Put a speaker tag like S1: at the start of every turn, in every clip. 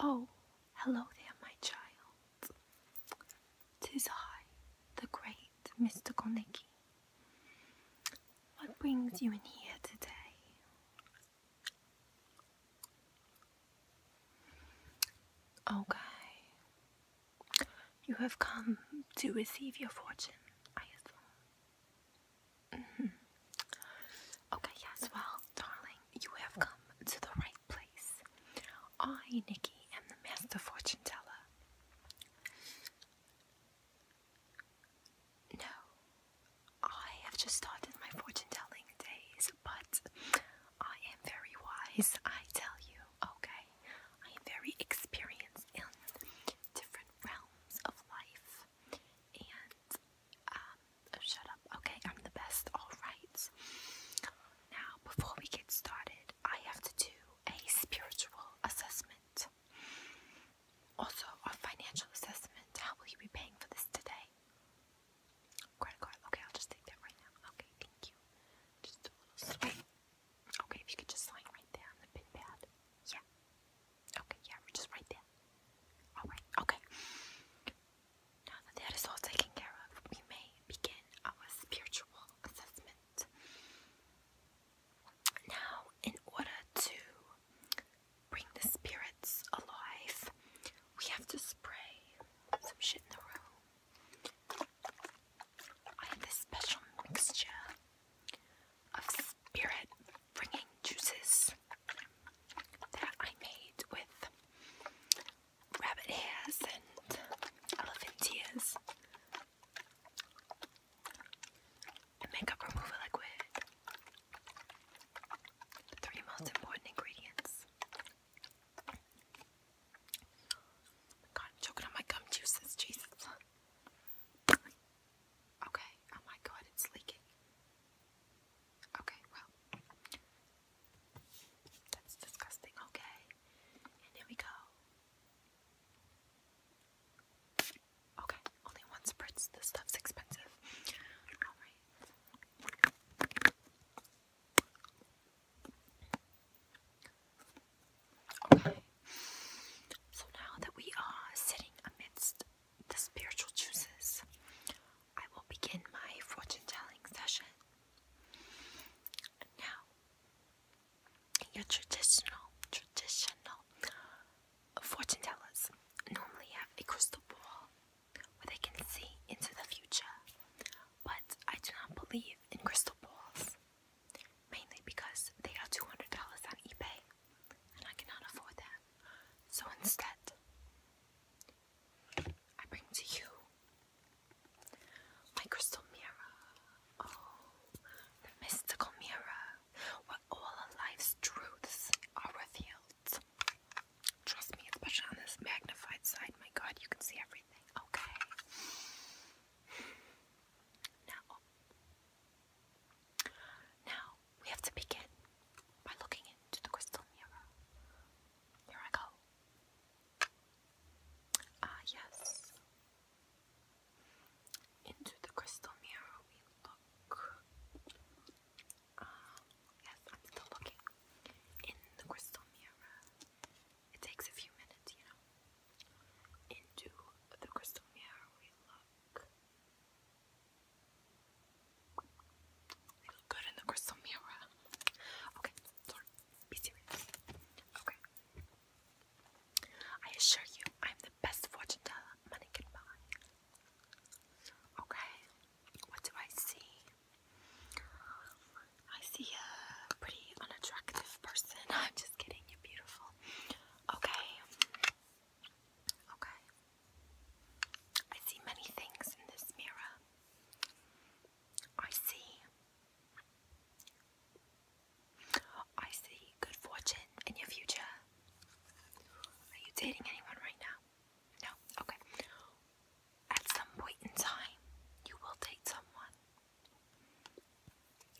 S1: Oh, hello there, my child. Tis I, the great Mister Nicky. What brings you in here today? Okay, you have come to receive your fortune, mm-hmm. Okay, yes, well, darling, you have come to the right place. I, Nikki, am the master fortune teller. No, I have just started my fortune telling days, but I am very wise, I tell you, okay? I I am very experienced in different realms of life and um, oh, shut up. Okay, I'm the best. All right. Now, before we get started, I have to do a spiritual assessment. Also, a financial assessment. How will you be paying for this today? Credit card. Okay, I'll just take that right now. Okay, thank you. Just a little swipe. Okay, if you could just sign right there on the pin pad. Yeah. Okay, yeah, we're just right there. Alright, okay. Now that that is all taken care of, we may begin our spiritual assessment. Now, in order to bring the spirits alive, we have to spray some shit in the room. I have this special mixture of spirit bringing juices that I made with rabbit hairs and elephant ears. makeup remover liquid. The three most important ingredients. God, I'm choking on my gum juices. Jesus. Okay. Oh my God, it's leaking. Okay, well, that's disgusting. Okay. And here we go. Okay, only one spritz. This stuff's expensive. Alright. Okay. So now that we are sitting amidst the spiritual juices, I will begin my fortune telling session. Now, your traditional, traditional fortune tellers normally have a crystal ball where they can see into the future, but I do not believe in crystal balls mainly because they are $200 on eBay and I cannot afford that. So instead, I bring to you my crystal mirror. Oh, the mystical mirror where all of life's truths are revealed. Trust me, especially on this magnified side. My god, you can see everything. Okay. Now, now we have to begin by looking into the crystal mirror. Here I go. Ah, yes. Into the crystal mirror we look. Ah, yes, I'm still looking in the crystal mirror. It takes a few minutes, you know. Into the crystal mirror we look. We look good in the crystal mirror. Okay, sorry. Be serious. Okay. I assure you, I'm the best fortune teller money can buy. Okay, what do I see? I see a pretty unattractive person. I'm just kidding, you're beautiful. Okay. Okay. I see many things in this mirror. I see. I see good fortune in your future. Are you dating anyone right now? No? Okay at some point in time, you will date someone,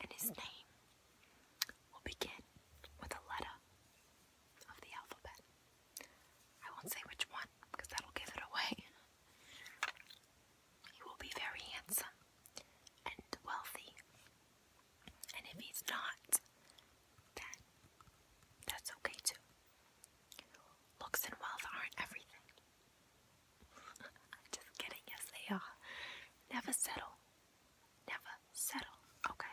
S1: and his name will begin with a letter of the alphabet. I won't say which one because that'll give it away. He will be very handsome and wealthy, and if he's not, then that's okay too. Looks and wealth aren't everything. I'm just kidding. Yes, they are. Never settle. Never settle. Okay.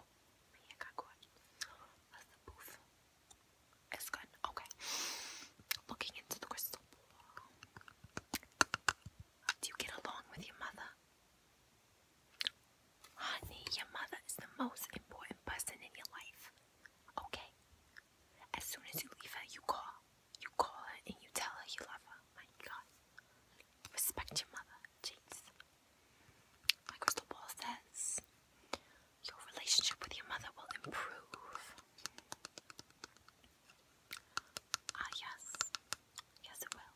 S1: Oh, may I got caught. That's the booth. It's good. Okay. Looking into the crystal ball. Do you get along with your mother? Honey, your mother is the most important person in your life. Okay. As soon as you leave her, you call. You call her and you tell her you love her. My God. Respect your mother. Jeez. My crystal ball says your relationship with your mother will improve. Ah, yes. Yes, it will.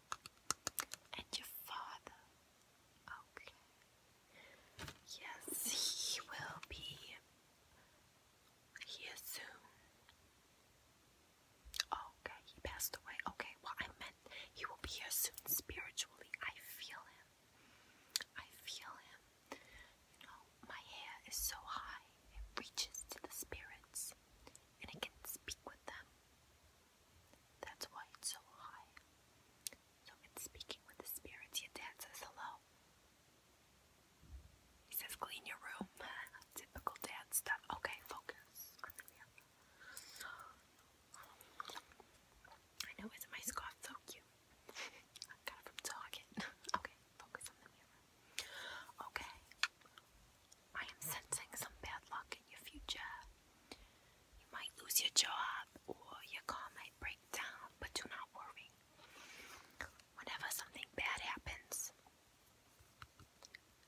S1: And your father. Okay. Yes, he will be he is soon. Okay, he passed away. Okay, well, I meant he will be here soon spiritually. I feel him. I feel him. You know, my hair is so high, it reaches to the spirits and it can speak with them. That's why it's so high. So in speaking with the spirits, your dad says hello. He says, clean your room. Typical dad stuff. Okay, focus. I know, is my scarf so cute? got it from Target. okay, focus on the mirror. Okay. I am sensing some bad luck in your future. You might lose your job, or your car might break down, but do not worry. Whenever something bad happens,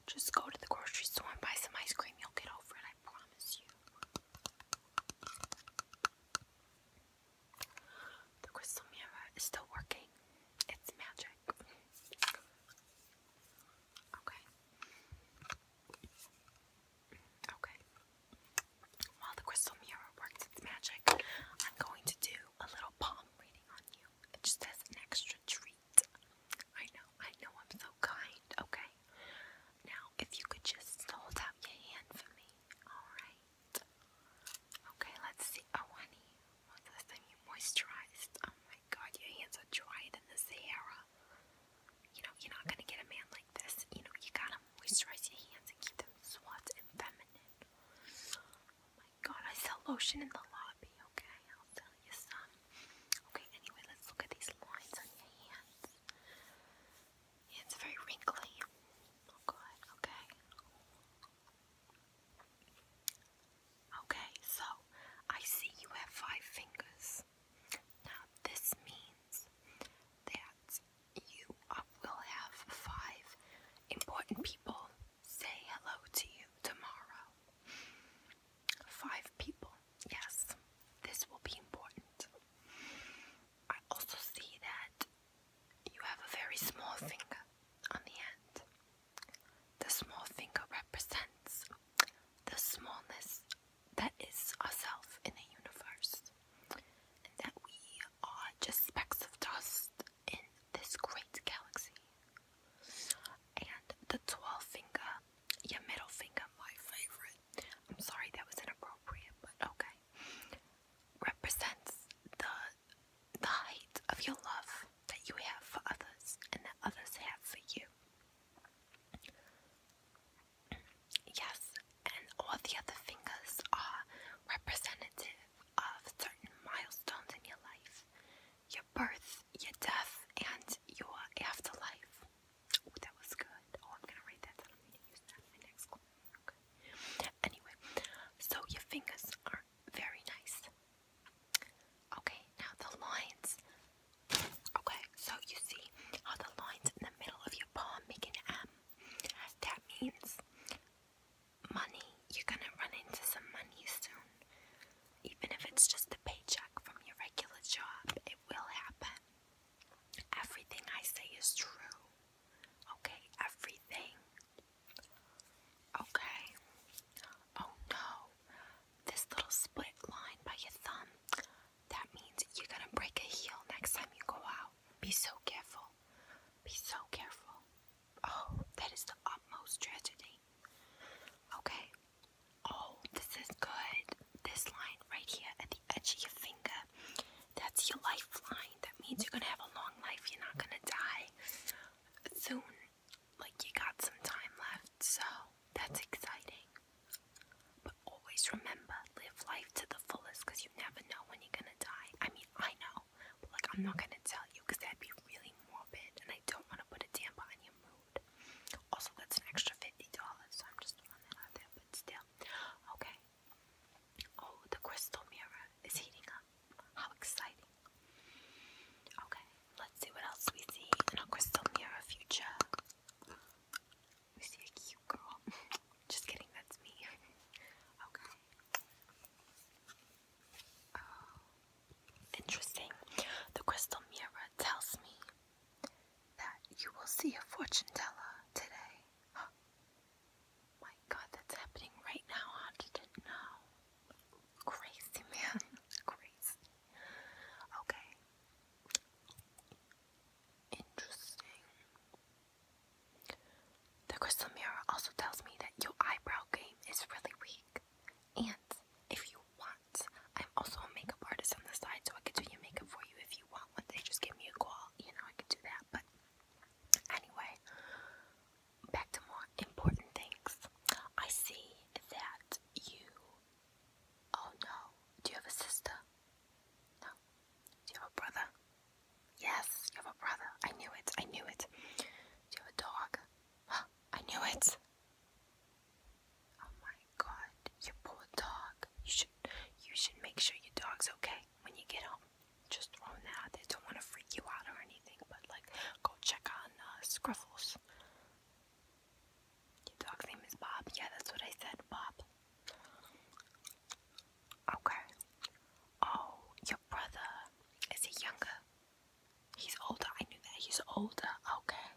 S1: just go to the grocery store and buy some ice cream. You'll get over it, I promise you. The crystal mirror is still working. It's magic. Okay. Okay. While the crystal mirror works its magic, I'm going to do a little palm reading on you. It just as an extra treat. I know, I know I'm so kind, okay? Now, if you could just hold out your hand for me, alright? Okay, let's see. Oh, honey, when's the last you moisturized? Oh my god, your hands are dried in the Sahara. You know, you're not gonna get a man like this. You know, you gotta moisturize your hands and keep them soft and feminine. Oh god, I sell lotion in the lobby, okay? I'll sell you some. Okay, anyway, let's look at these lines on your hands. it's very wrinkly. Oh okay. Okay, so I see you have five fingers. Now, this means that you will have five important people say hello to you tomorrow. Five people, yes, this will be important. I also see that you have a very small finger on the end. The small finger represents the smallness that is ourselves in the universe, and that we are just specks of dust in this great galaxy. And the 12 finger, your middle finger, my favorite. I'm sorry that was inappropriate, but okay. Represents the the height of your love that you have for others and that others have for you. Yes, and all the other fingers are representative of certain milestones in your life your birth, your death, and your afterlife. Oh, that was good. Oh, I'm gonna write that I'm gonna use that in my next Anyway, so your fingers are very nice. Okay, now the loins. Okay, so you see how the lines in the middle of your palm make an M? That means money. You're gonna run into some money soon. Even if it's just a paycheck from your regular job, it will happen. Everything I say is true. Okay, everything. Okay. Oh no. This little split line by your thumb. That means you're gonna break a heel next time you go out. Be so careful. Be so careful. Oh, that is the utmost tragedy. Okay. Oh, this is good. This line right here at the edge of your finger. That's your lifeline. That means you're gonna have a long life. You're not gonna die soon. Like you got some time left, so that's exciting. But always remember, live life to the fullest because you never know when you're gonna die. I mean, I know, but like, I'm not gonna tell you because that'd be really morbid and I don't want to put a damper on your mood. Also, that's an extra $50, so I'm just throwing that out there, but still. Okay. Oh, the crystal mirror is heating up. How exciting. Okay, let's see what else we see in our crystal mirror future. Was he a cute girl? Just kidding, that's me. okay. Oh, interesting. The crystal mirror tells me that you will see a fortune teller today. My God, that's happening right now. I didn't know. Crazy man, crazy. Okay. Interesting. The crystal mirror also tells me that your eyebrow game is really weak. And if you want, I'm also a makeup artist on the side, so I could do your makeup for you if you want one day. Just give me a call, you know, I could do that. But anyway, back to more important things. I see that you Oh no. Do you have a sister? No. Do you have a brother? Yes, you have a brother. I knew it. I knew it. Do you have a dog? I knew it. Oh my god, you poor dog. You should you should make sure your dog's okay when you get home. Just throwing that out there. Don't want to freak you out or anything, but like go check on uh, Scruffles. Your dog's name is Bob. Yeah, that's what I said, Bob. Okay. Oh, your brother. Is he younger? He's older. I knew that. He's older. Okay.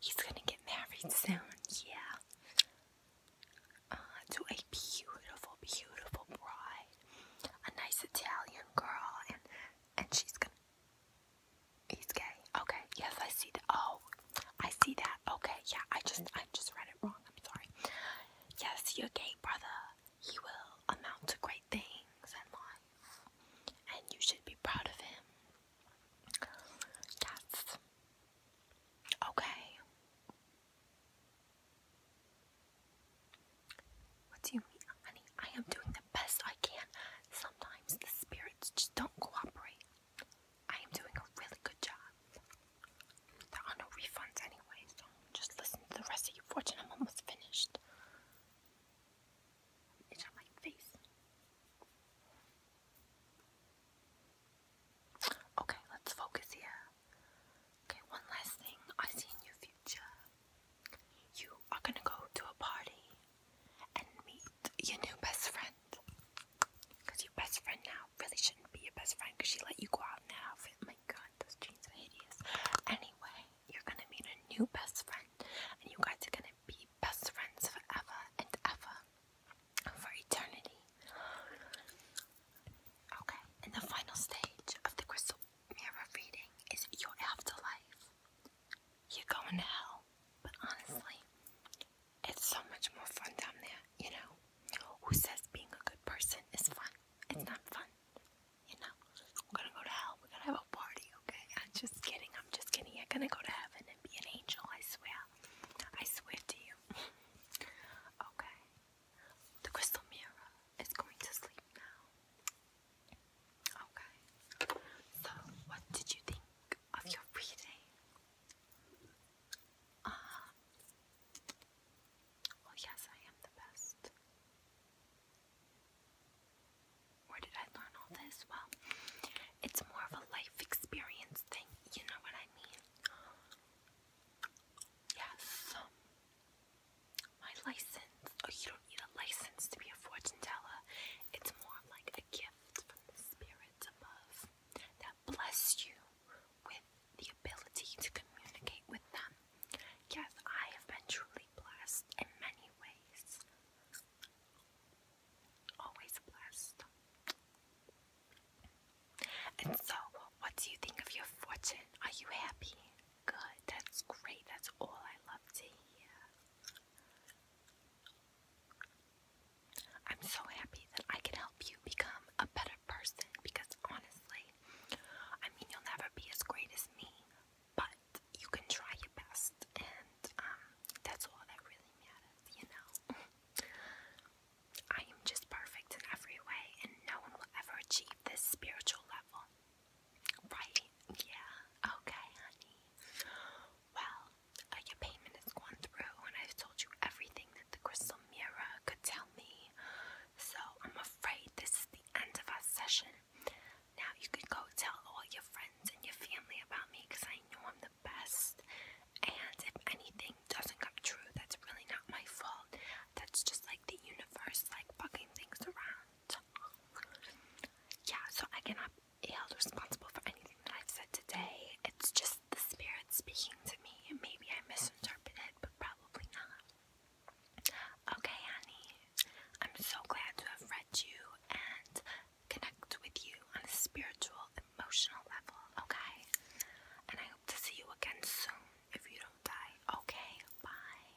S1: He's gonna get married soon. Yeah. Uh, to a beautiful, beautiful bride. A nice Italian girl. And, and she's gonna. He's gay. Okay. Yes, I see that. Oh, I see that. Okay. Yeah, I just I just read it wrong. I'm sorry. Yes, your gay brother. He will amount to great things in life, and you should be proud of him. Yes. Okay. What do you mean, honey? I am doing the best I can. Sometimes the spirits just don't cooperate. I am doing a really good job. There are no refunds anyway, so just listen to the rest of your fortune. I'm almost finished. It's on my face. Okay, let's focus here. Okay, one last thing I see in your future. You are gonna go to a party and meet your new best friend. Because your best friend now really shouldn't be your best friend because she let you go out now. My god, those jeans are hideous. Anyway, you're gonna meet a new best friend, and you guys are gonna be best friends forever and ever for eternity. Okay, and the final stage of the crystal mirror reading is your afterlife you're going to hell. But honestly, it's so much more fun down there, you know? Who says being a good person is fun? It's not fun, you know? We're gonna go to hell. We're gonna have a party, okay? I'm just kidding. I'm just kidding. I'm gonna go to heaven and be an angel, I swear. I swear to you. okay. The crystal mirror is going to sleep now. Okay. So, what did you think of your reading? Uh, well, yes, I am the best. Where did I learn all this? Well, it's more of a life experience thing, you know what I mean? Yes. Um, my license Oh, you don't need a license to be a fortune teller. It's more like a gift from the spirits above that bless you with the ability to communicate with them. Yes, I have been truly blessed in many ways. Always blessed. And so, what do you think of your fortune? Are you happy? Good, that's great. That's all I love to hear. I'm so happy that I can help you become a better person because honestly, I mean, you'll never be as great as me, but you can try your best, and um, that's all that really matters, you know? I am just perfect in every way, and no one will ever achieve this spiritual level. Right? Yeah. Okay, honey. Well, uh, your payment has gone through, and I've told you everything that the crystal mirror could tell me. So I'm afraid this is the end of our session. Now you can go tell all your friends and your family about me because I know I'm the best. And if anything doesn't come true, that's really not my fault. That's just like the universe, like fucking things around yeah, so I cannot be held responsible for anything that I've said today. It's just the spirit speaking to me. Maybe I misinterpreted, but probably not. Okay, honey. I'm so glad to have read you and connect with you on a spiritual, emotional level, okay? And I hope to see you again soon if you don't die. Okay, bye.